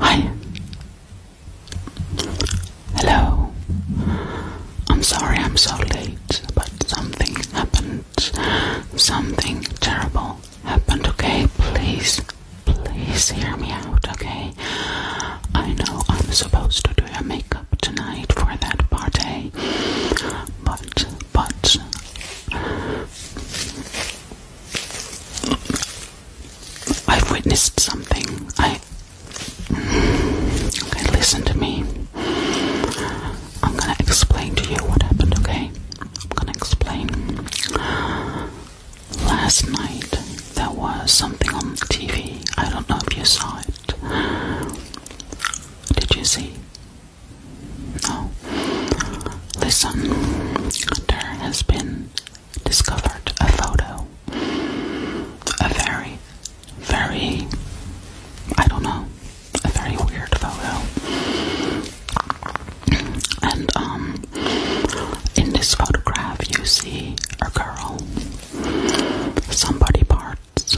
Hi. Hello. I'm sorry I'm so late, but something happened. Something terrible happened, okay? Please, please hear me out, okay? I know I'm supposed to do your makeup tonight for that party, but, but. I've witnessed something. I. Mm, okay, listen to me. I'm gonna explain to you what happened, okay? I'm gonna explain. Last night there was something on the TV. I don't know if you saw it. Did you see? No. Listen, there has been discovered a photo. A very, very, I don't know, a very weird photo. And, um, in this photograph, you see a girl, somebody parts,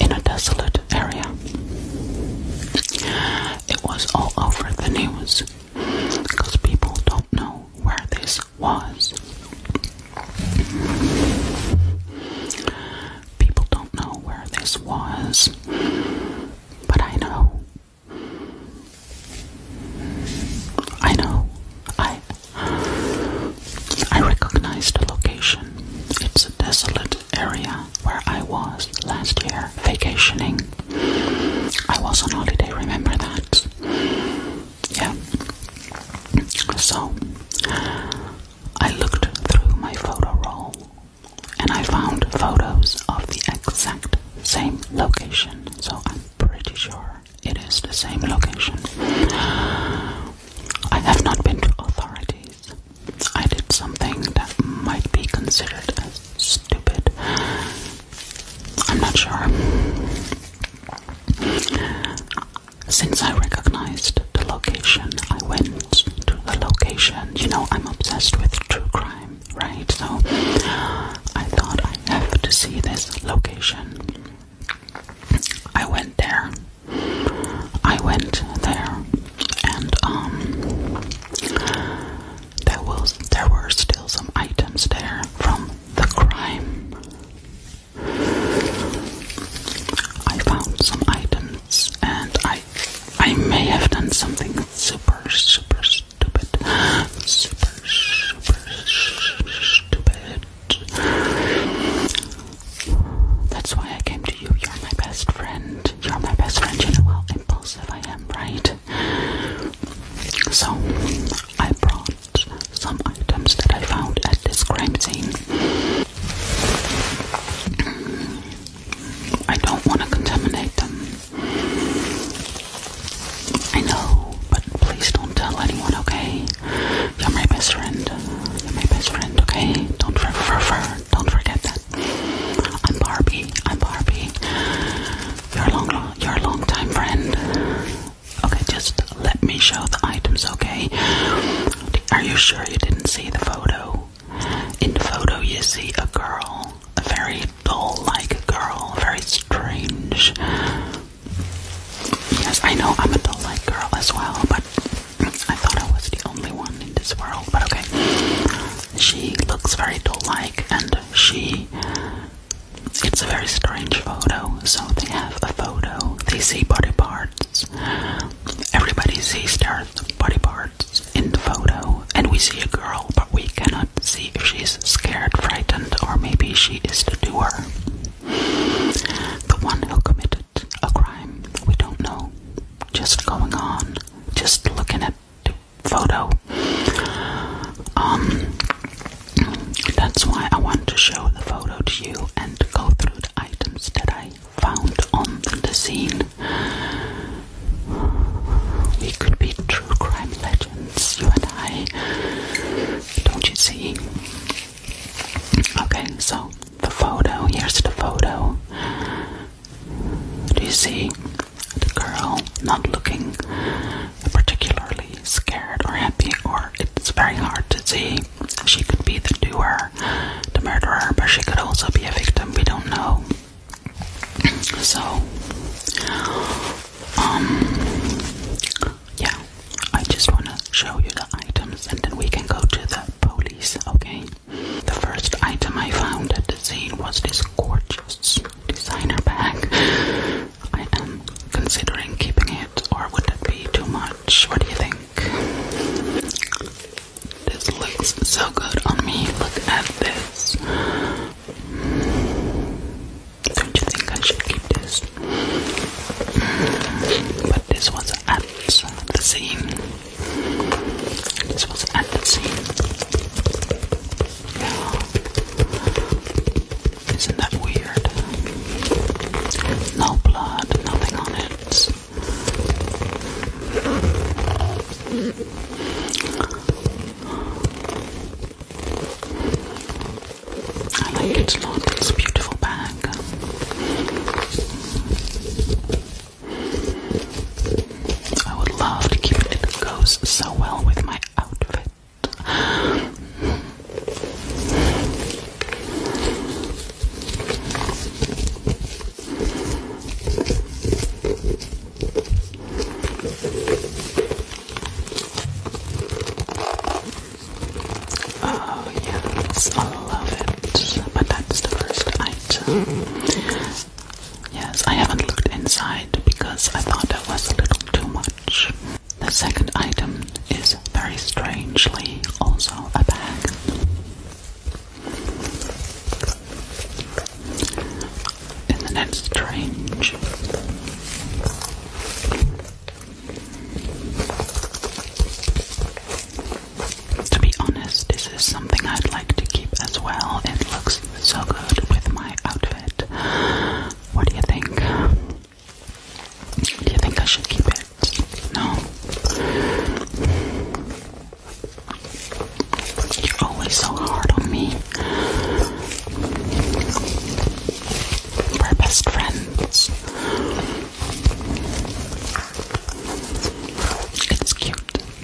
in a desolate area. It was all over the news because people don't know where this was. People don't know where this was, but I know. I know. I I recognize the location. It's a desolate area where I was last year vacationing. I was on holiday, remember that? Yeah. So, I looked through my photo roll and I found photos of the exact same location. So, I'm pretty sure it is the same location. I have not been to authorities. I did something that might be considered as stupid. I'm not sure. Since I recognized the location, I went to the location. You know, I'm obsessed with true crime, right? So I thought I have to see this location. I went there. I went there and um, there was there were still some items there from the crime. I found some items, and I I may have done something super super stupid, super super stupid. That's why I came to you. You're my best friend. You're my best friend. You know how impulsive I am, right? So I brought some items that I found at this crime scene. I don't want to contaminate them. I know, but please don't tell anyone, okay? You're my best friend. You're my best friend, okay? Don't refer, don't forget that. I'm Barbie. I'm Barbie. You're a long, you're a long time friend. Okay, just let me show the items, okay? Are you sure you didn't see the photo? In the photo you see a girl. A very doll-like girl, very strange. Yes, I know I'm a doll-like girl as well, but I thought I was the only one in this world. But okay, she looks very doll-like and she. It's a very strange photo. So they have a photo, they see body parts. Everybody sees their body parts in the photo, and we see a girl, but we cannot see if she's scared, frightened, or maybe she is the doer. The one who committed a crime, we don't know. Just going on, just looking at photo. Um, that's why I want to show the photo to you and go through the items that I found on the scene. We could be true crime legends, you and I. Don't you see? Okay, so the photo, here's the photo. Do you see? The girl not looking particularly scared or happy, or it's very hard to see. She could be the doer, the murderer, but she could also be a victim. We don't know. So, um, yeah, I just want to show you the items and then we can go to the police, okay? The first item I found at the scene was this gorgeous designer bag. I am considering keeping it, or would it be too much? What do you think? This looks so good on me. Look at this. Don't you think I should keep this? But this was at the same. This was at the same. Isn't that weird? No blood, nothing on it. I like its look, it's a beautiful bag. I would love to keep it. It goes so well with my outfit. Oh yes, I love it. But that's the first item. Yes, I haven't looked inside because I thought that was a little too much. The second item is very strangely also a bag. Isn't that strange? To be honest, this is something I'd like to keep as well. It looks so good with my outfit. What do you think? Do you think I should keep it? No. You're always so hard on me. We're best friends. It's cute. The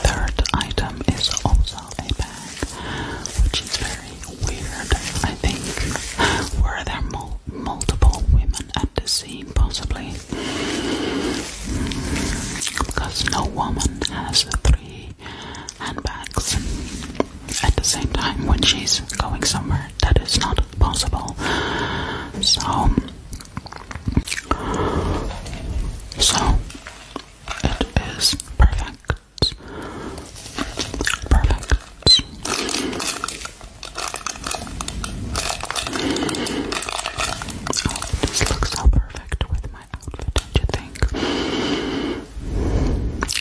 third item is also a bag, which is very weird, I think. Were there multiple women at the scene, possibly? Hmm, because no woman has three handbags at the same time when she's going somewhere. That is not possible. So. So, it is perfect. Perfect. Oh, this looks so perfect with my outfit, don't you think?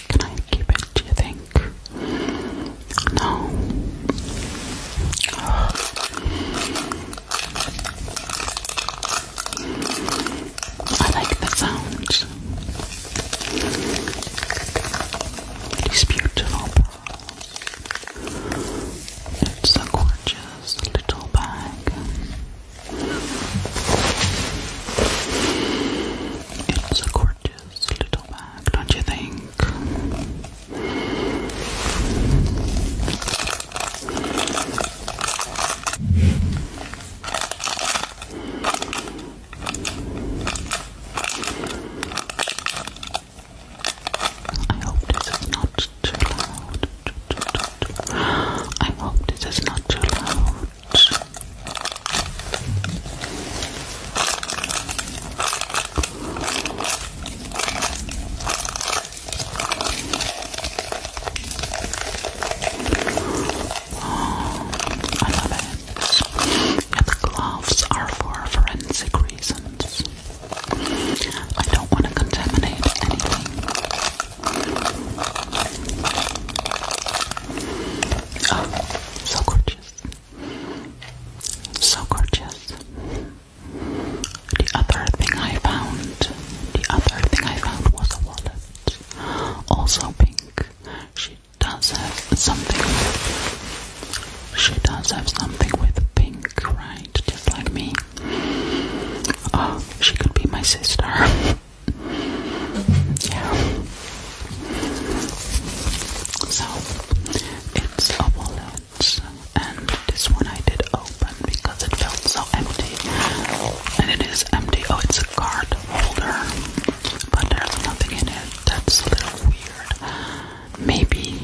Can I keep it, do you think? No. I like the sound. These beautiful pearls. It's a gorgeous little bag. It's a gorgeous little bag, don't you think? I hope this is not too loud. I hope this is not too loud. Oh, I love it. the gloves are for forensic reasons. I don't want to contaminate anything. Oh, so gorgeous. So gorgeous. The other thing I found, the other thing I found was a wallet, also pink. She does have something with, she does have something with pink, right? Just like me. Oh, she could be my sister. yeah. So, it's a wallet and this one I did open because it felt so empty. And it is empty. Oh, it's a card holder, but there's nothing in it. That's a little weird. Maybe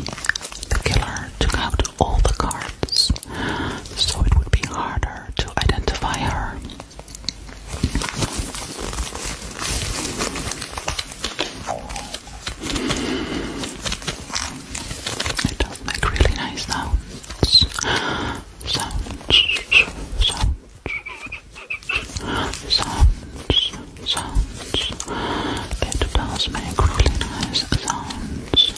the killer took out all the cards, so it would be harder to identify her make really nice sounds. Sounds, sounds, sounds, sounds. It does make really nice sounds.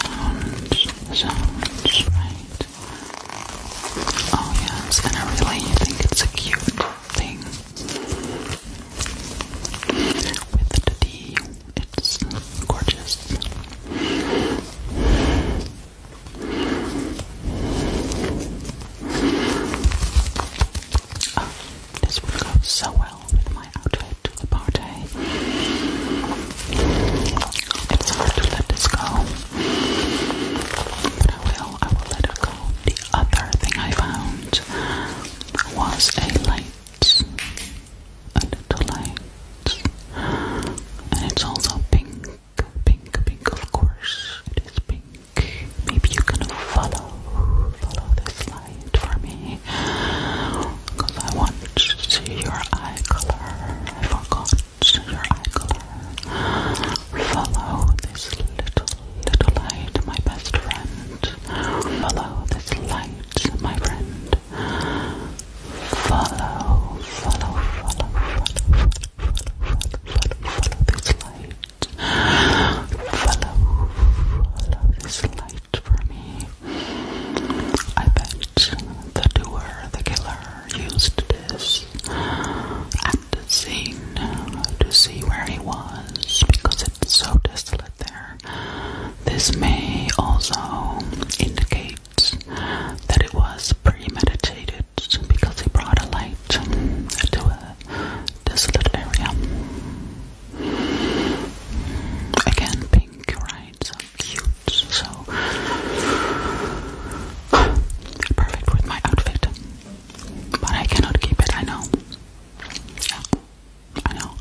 Sounds, sounds, right? Oh yes, and I really think it's a cute thing. With the D it's gorgeous. Oh, this would go so well with my outfit to the party. It's hard to let this go, but I will. I will let it go. The other thing I found was a light a little light, and it's also pink, pink, pink. Of course, it is pink. Maybe you can follow, follow this light for me, because I want to see your eye color. I forgot your eye color. Follow this little, little light, my best friend. Follow this light, my friend. Follow, follow, follow, follow, follow, follow, follow, follow this light. Follow, follow this light for me. I bet the doer, the killer, used this at the scene to see where he was because it's so desolate there. This may also indicate that it was premeditated because he brought a light to a desolate area. Again, pink, right? So so perfect with my outfit. But I cannot keep it, I know. I know.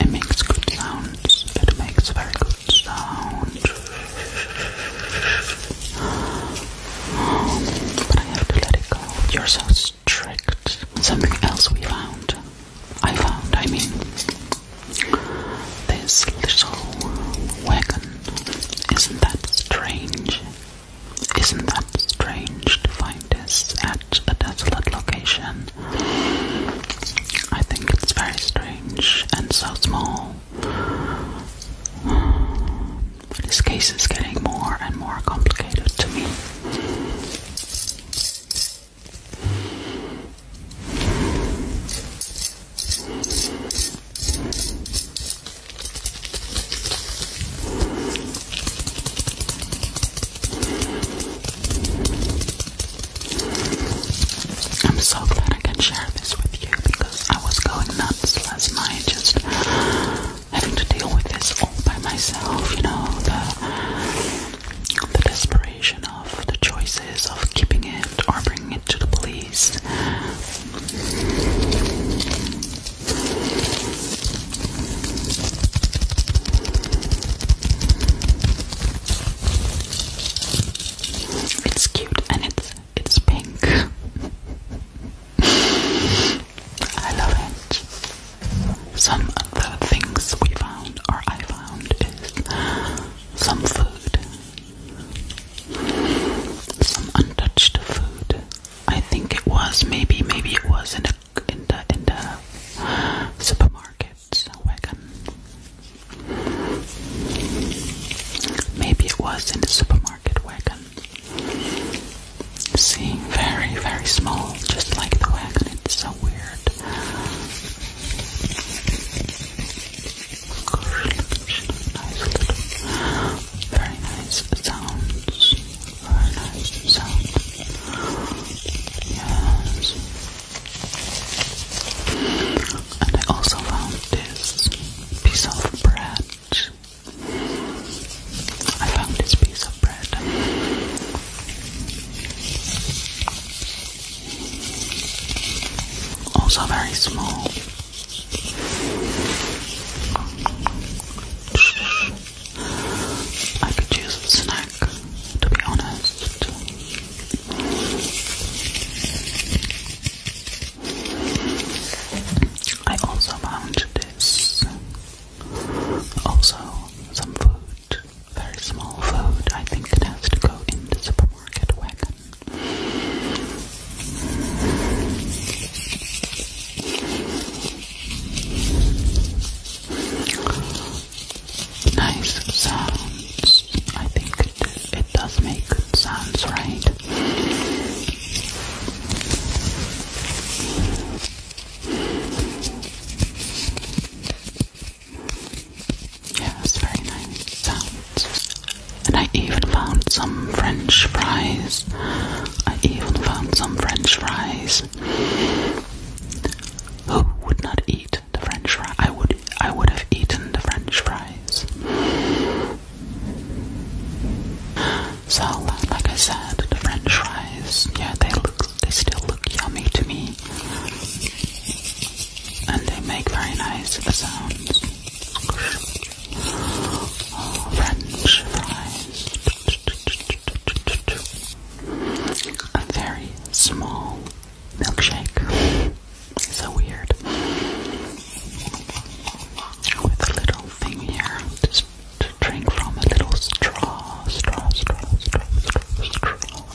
It makes good sounds. It makes very good sound. But I have to let it go. You're so strict. Something else we found. I found, I mean, this little wagon. Isn't that strange? Isn't that strange to find this at a desolate location? I think it's very strange and so small. This case is getting more and more complicated to me. I'm so glad I can share this with you because I was going nuts last night just having to deal with this all by myself, you know, the the desperation of the choices of keeping it or bringing it to the police. It's cute and it's it's pink. I love it some of the things we found, or I found, is some food, some untouched food. I think it was maybe, maybe it was in the in the in the supermarket wagon. Maybe it was in the supermarket wagon. See, very, very small, just like the wagon. It's so weird. Very nice sounds. Very nice sounds. Yes. And I also found this piece of bread. I found this piece of bread. Also very small. I could use a snack, to be honest. I also found this. Also, some food very small vote. I think it has to go in the supermarket wagon. Nice sounds. I think it, it does make good sounds, right? Yes, very nice And I even found some French fries. I even found some French fries. Who would not eat the French fries? I would I would have eaten the French fries. So like I said, the French fries, yeah, they look they still look yummy to me and they make very nice sounds. French fries. A very small milkshake. So weird. With a little thing here to drink from a little straw, straw, straw, straw, straw, straw.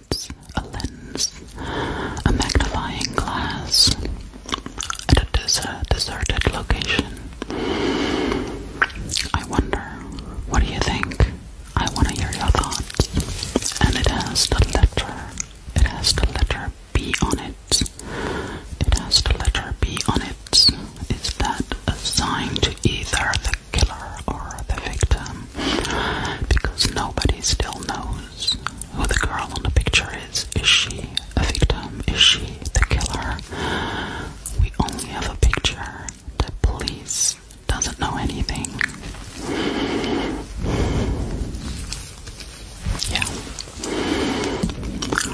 needs a lens, a magnifying glass, at a deserted location. I wonder, what do you think? I want to hear your thoughts. And it has the letter, it has the letter B on it. It has the letter B on it. Is that a sign to either killer or the victim because nobody still knows who the girl in the picture is. Is she a victim? Is she the killer? We only have a picture. The police doesn't know anything. Yeah.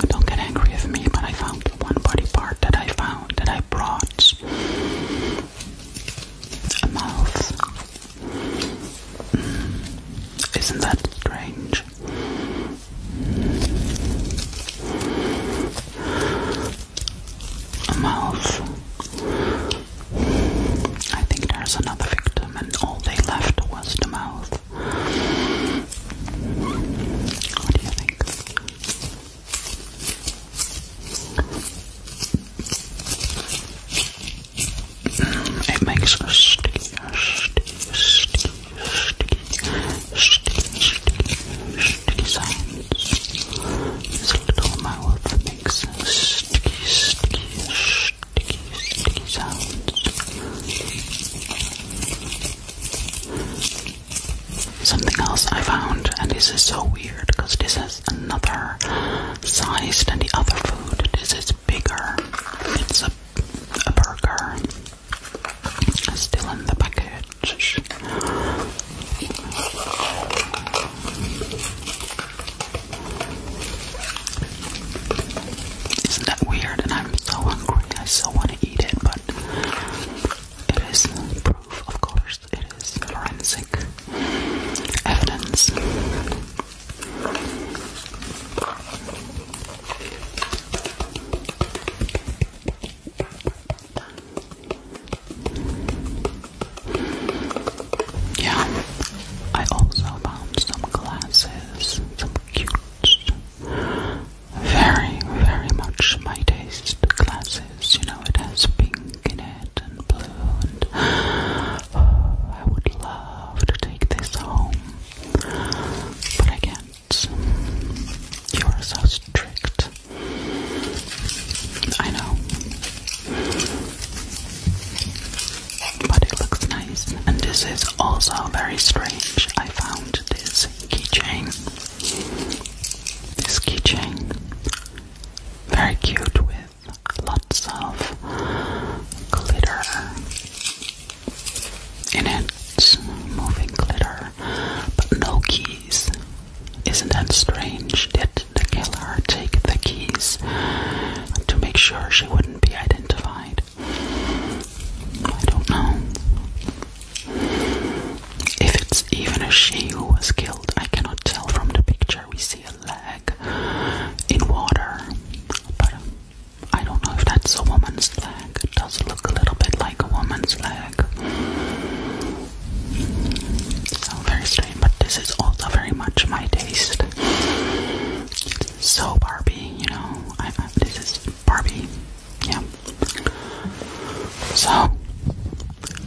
Don't get angry with me, but I found one body part that I found that I brought a mouth. Mm. Isn't that strange? A mouth. I think there's another victim, and all they left was the mouth. What do you think? Um, it makes a sticky, sticky, sticky, sticky, sticky, sticky, sticky sound. This little mouth makes a sticky, sticky, sticky, sticky sound something else I found, and this is so weird because this is another size than the other food. This is bigger. It's a, a burger. still in the package. Isn't that weird? And I'm so hungry. I so want to eat it, but it is proof, of course it is forensic evidence. Yeah, I also found some glasses, some cute, very, very much my taste glasses. You know, it has pink and blue oh, I would love to take this home but I can't. You are so strict. I know. But it looks nice. And this is also very strange. I found this keychain. This keychain very cute with lots of glitter in it, moving glitter, but no keys. Isn't that strange? Did the killer take the keys to make sure she wouldn't be identified? I don't know. If it's even a she who was killed, I cannot tell from the picture we see a leg in water, but uh, I don't know if that's a woman's leg. It does look a little bit like a woman's leg. So very strange, but this is also very much my taste. So Barbie, you know, I, I, this is Barbie, yeah. So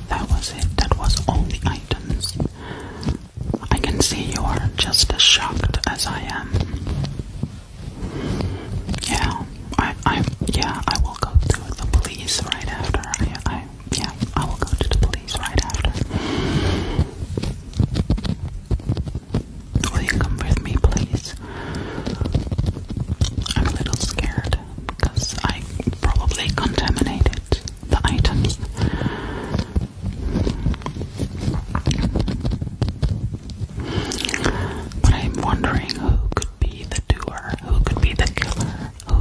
that was it. That was all the items. I can see you are just as shocked as I am. Yeah, I, I, yeah, I will go to the police right after. I, I, yeah, I will go to the police right after. Will you come with me, please? I'm a little scared because I probably contaminated the items. But I'm wondering who could be the doer, who could be the killer, who.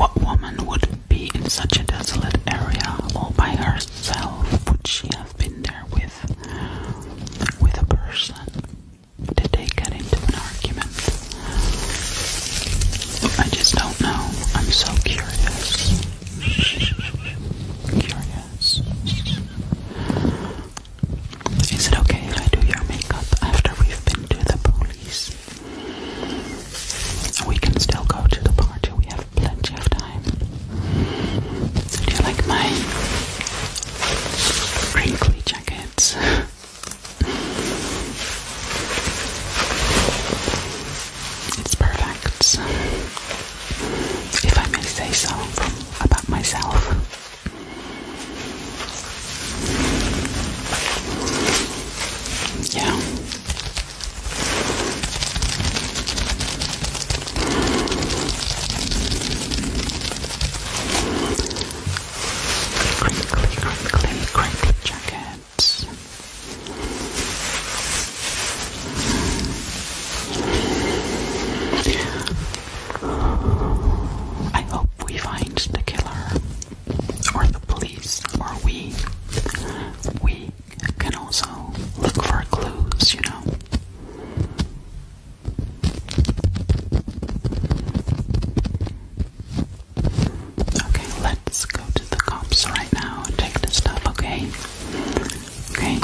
What woman would be in such a desolate area all by herself? Would she have been there with, with a person? Did they get into an argument? I just don't know. I'm so curious. Curious. Is it okay if I do your makeup after we've been to the police? We can still go to the party. We have plenty of time. Do you like my wrinkly jackets? It's perfect, if I may say so, about myself. Yeah. Crinkly, crinkly, crinkly jacket. I hope we find the killer, or the police, or we. We can also look for clues, you know. Okay, let's go to the cops right now and take the stuff, okay? Okay.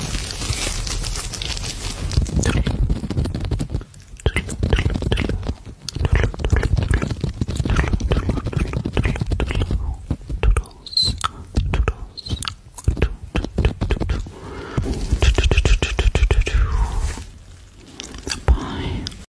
Bye.